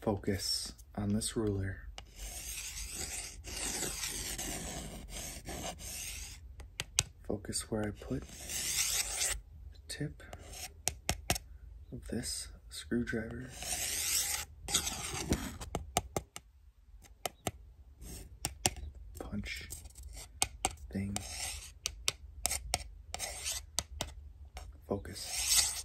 Focus on this ruler. Focus where I put the tip of this screwdriver. Punch thing. Focus.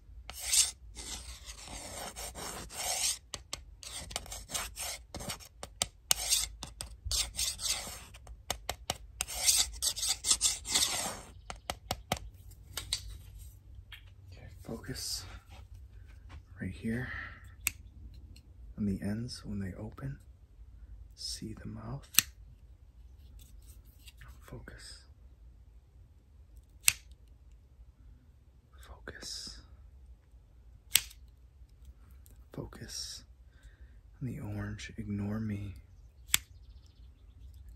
Okay, focus right here on the ends when they open. See the mouth. Focus. Focus. Focus. On the orange. Ignore me.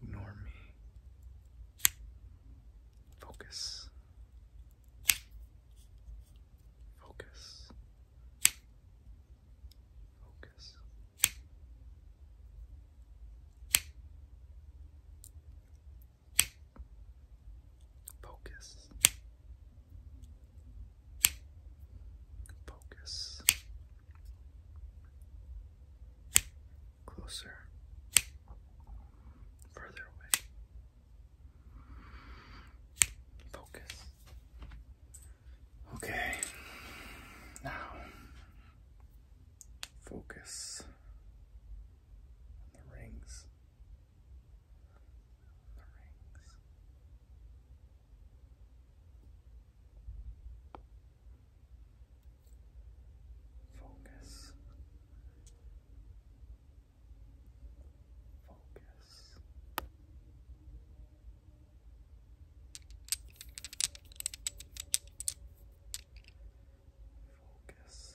Ignore me. Focus. Focus. Focus. Focus. Focus. Closer. Further away. Focus. Okay. Now, focus and the rings. the rings. Focus. Focus. Focus. Focus.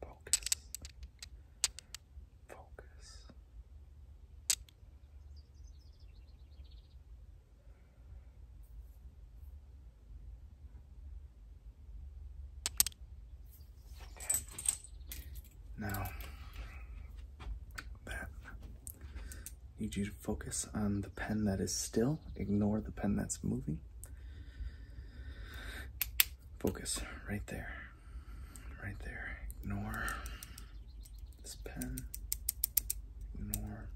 Focus. Focus. Okay. Now need you to focus on the pen that is still. Ignore the pen that's moving. Focus right there. Right there. Ignore this pen. Ignore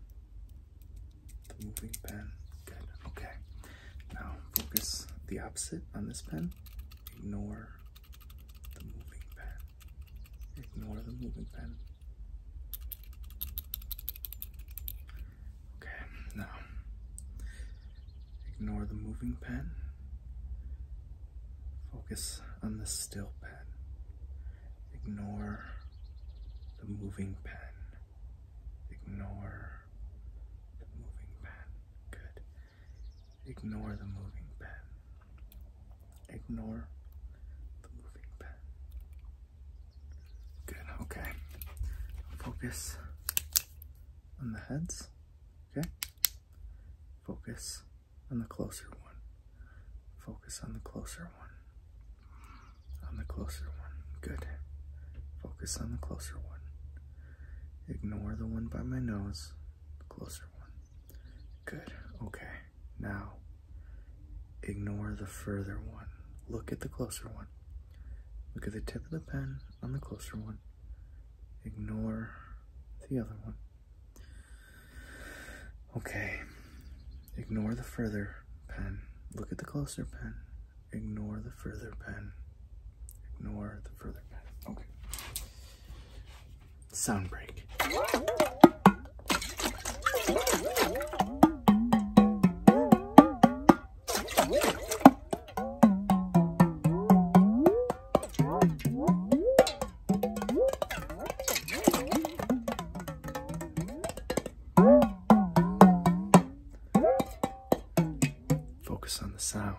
the moving pen. Good. Okay. Now focus the opposite on this pen. Ignore the moving pen. Ignore the moving pen. Okay, now ignore the moving pen. Focus on the still pen. Ignore the moving pen. Ignore the moving pen. Good. Ignore the moving pen. Ignore the moving pen. Good, okay. Focus on the heads, okay? Focus on the closer one. Focus on the closer one. On the closer one. Good. Focus on the closer one. Ignore the one by my nose closer one. Good. Okay. Now, ignore the further one. Look at the closer one. Look at the tip of the pen on the closer one. Ignore the other one. Okay. Ignore the further pen. Look at the closer pen. Ignore the further pen. Ignore the further pen. Okay sound break. Focus on the sound.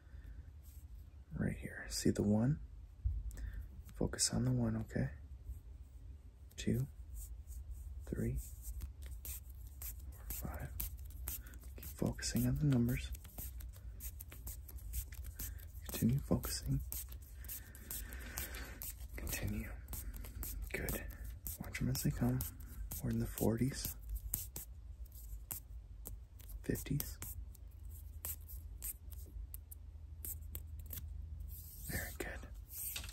Right here. See the one? Focus on the one, okay? Two, three, four, five. Keep focusing on the numbers. Continue focusing. Continue. Good. Watch them as they come. We're in the 40s. 50s. Very good.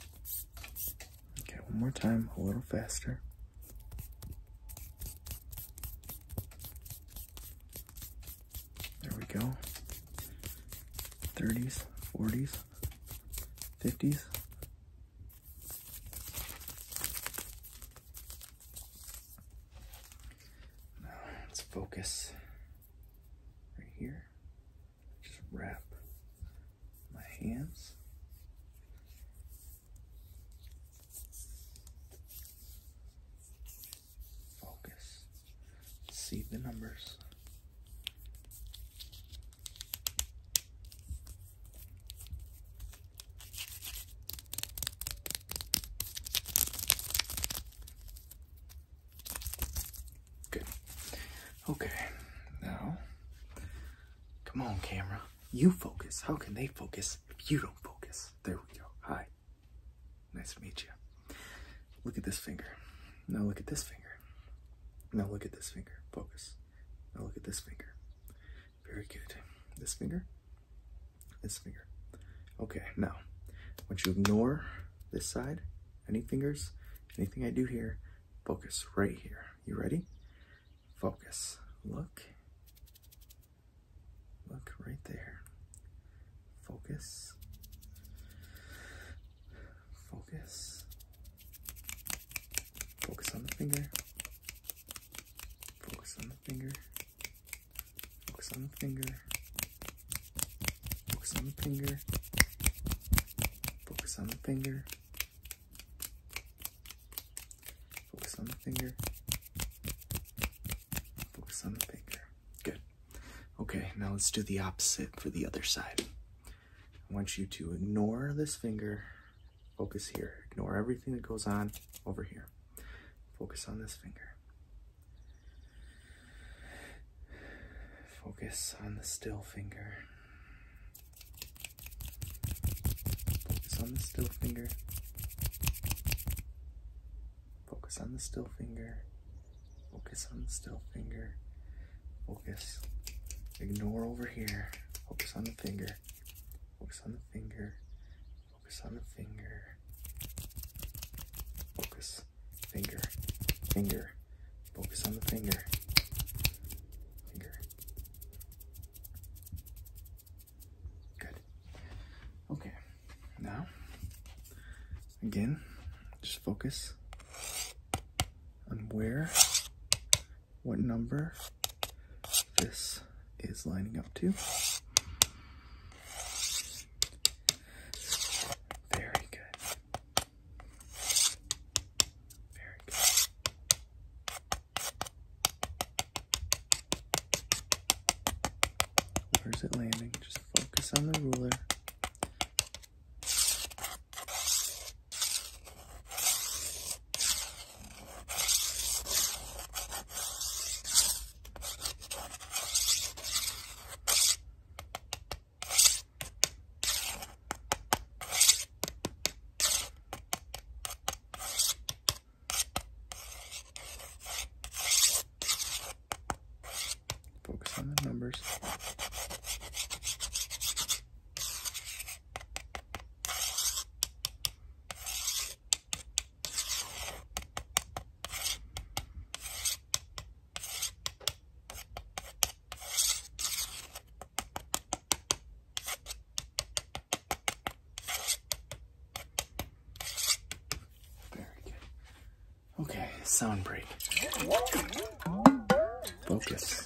Okay, one more time, a little faster. There we go. 30s, 40s, 50s. Now let's focus right here. Just wrap my hands. Focus. See the numbers. Good. Okay. Now, come on, camera. You focus. How can they focus if you don't focus? There we go. Hi. Nice to meet you. Look at this finger. Now look at this finger. Now look at this finger. Focus. Now look at this finger. Very good. This finger. This finger. Okay, now, once you ignore this side, any fingers, anything I do here, focus right here. You ready? Focus. Look. Look right there. Focus. Focus. Focus on the finger. Focus on the finger. Focus on the finger. Focus on the finger. Focus on the finger. Focus on the finger. Focus on the finger. Good. Okay, now let's do the opposite for the other side. I want you to ignore this finger Focus here. Ignore everything that goes on over here. Focus on this finger. Focus on the still finger. Focus on the still finger. Focus on the still finger. Focus on the still finger. Focus. Ignore over here. Focus on the finger. Focus on the finger. Focus on the finger. Focus. Finger. Finger. Focus on the finger. Finger. Good. Okay. Now, again, just focus on where, what number, this is lining up too. Very good. Very good. Where's it landing? Just focus on the ruler. Focus on the numbers. Very good. Okay, sound break. Focus.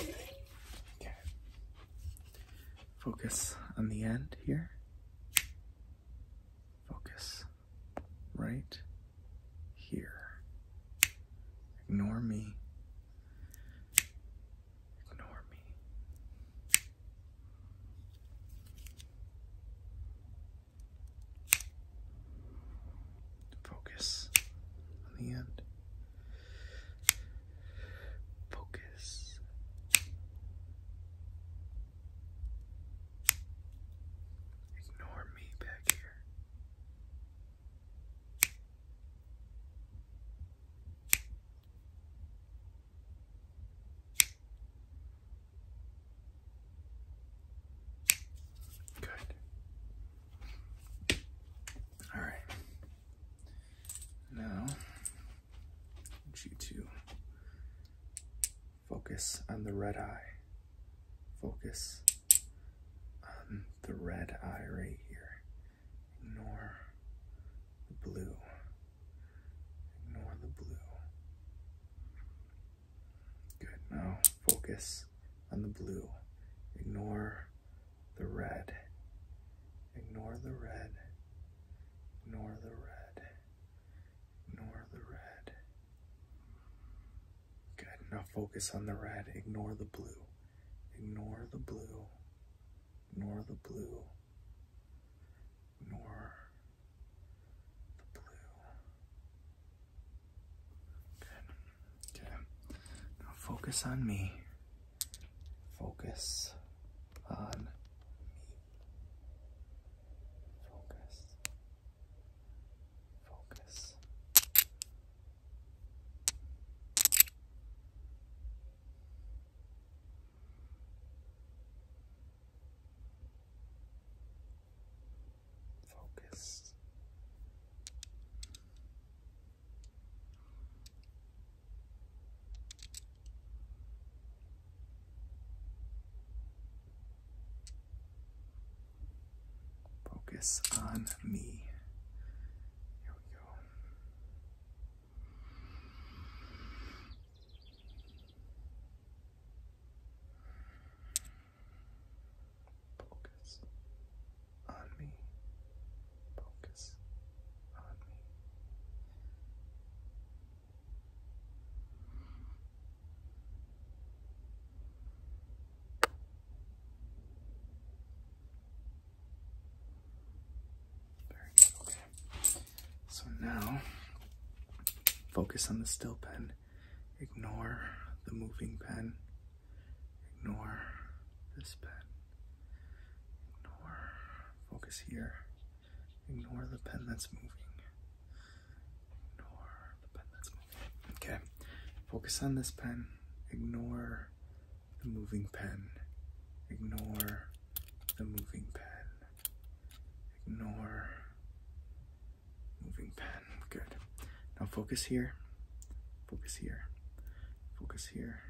Okay. Focus on the end here. Focus right here. Ignore me. Ignore me. Focus on the end. Focus. Ignore me back here. Good. All right. Now, I want you to focus on the red eye. Focus on the red eye right here. Ignore the blue. Ignore the blue. Good. Now focus on the blue. Ignore the red. Ignore the red. Ignore the red. Ignore the red. Good. Now focus on the red. Ignore the blue. Ignore the blue nor the blue, nor the blue. Good. Okay. Now focus on me. Focus on me. Focus. Focus. Focus. Focus on me. Here we go. Focus on me. Focus on me. Very good, okay. So now, focus on the still pen. Ignore the moving pen. Ignore this pen. Ignore, focus here. Ignore the pen that's moving. Ignore the pen that's moving. Okay, focus on this pen. Ignore the moving pen. Ignore the moving pen. Ignore moving pen. Good. Now focus here. Focus here. Focus here.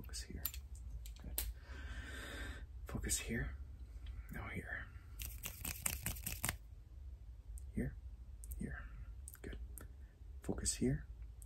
Focus here. Good. Focus here. Now here. Here. Here. Good. Focus here.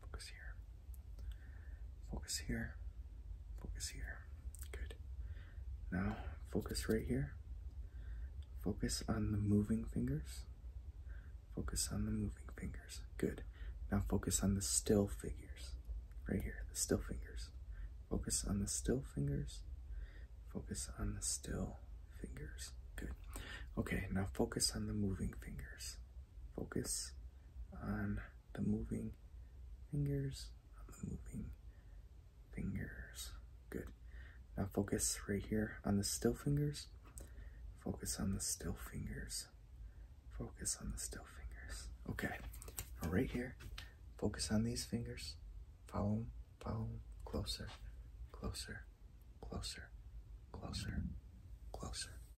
Focus here. Focus here. Focus here. Good. Now, focus right here. Focus on the moving fingers. Focus on the moving fingers. Good. Now focus on the still fingers. Right here, the still fingers. Focus on the still fingers. Focus on the still fingers. Good. Okay, now focus on the moving fingers. Focus on the moving fingers on the moving fingers. Good. Now focus right here on the still fingers. Focus on the still fingers. Focus on the still fingers. Okay. Now right here, focus on these fingers. Follow follow Closer, closer, closer, closer, closer.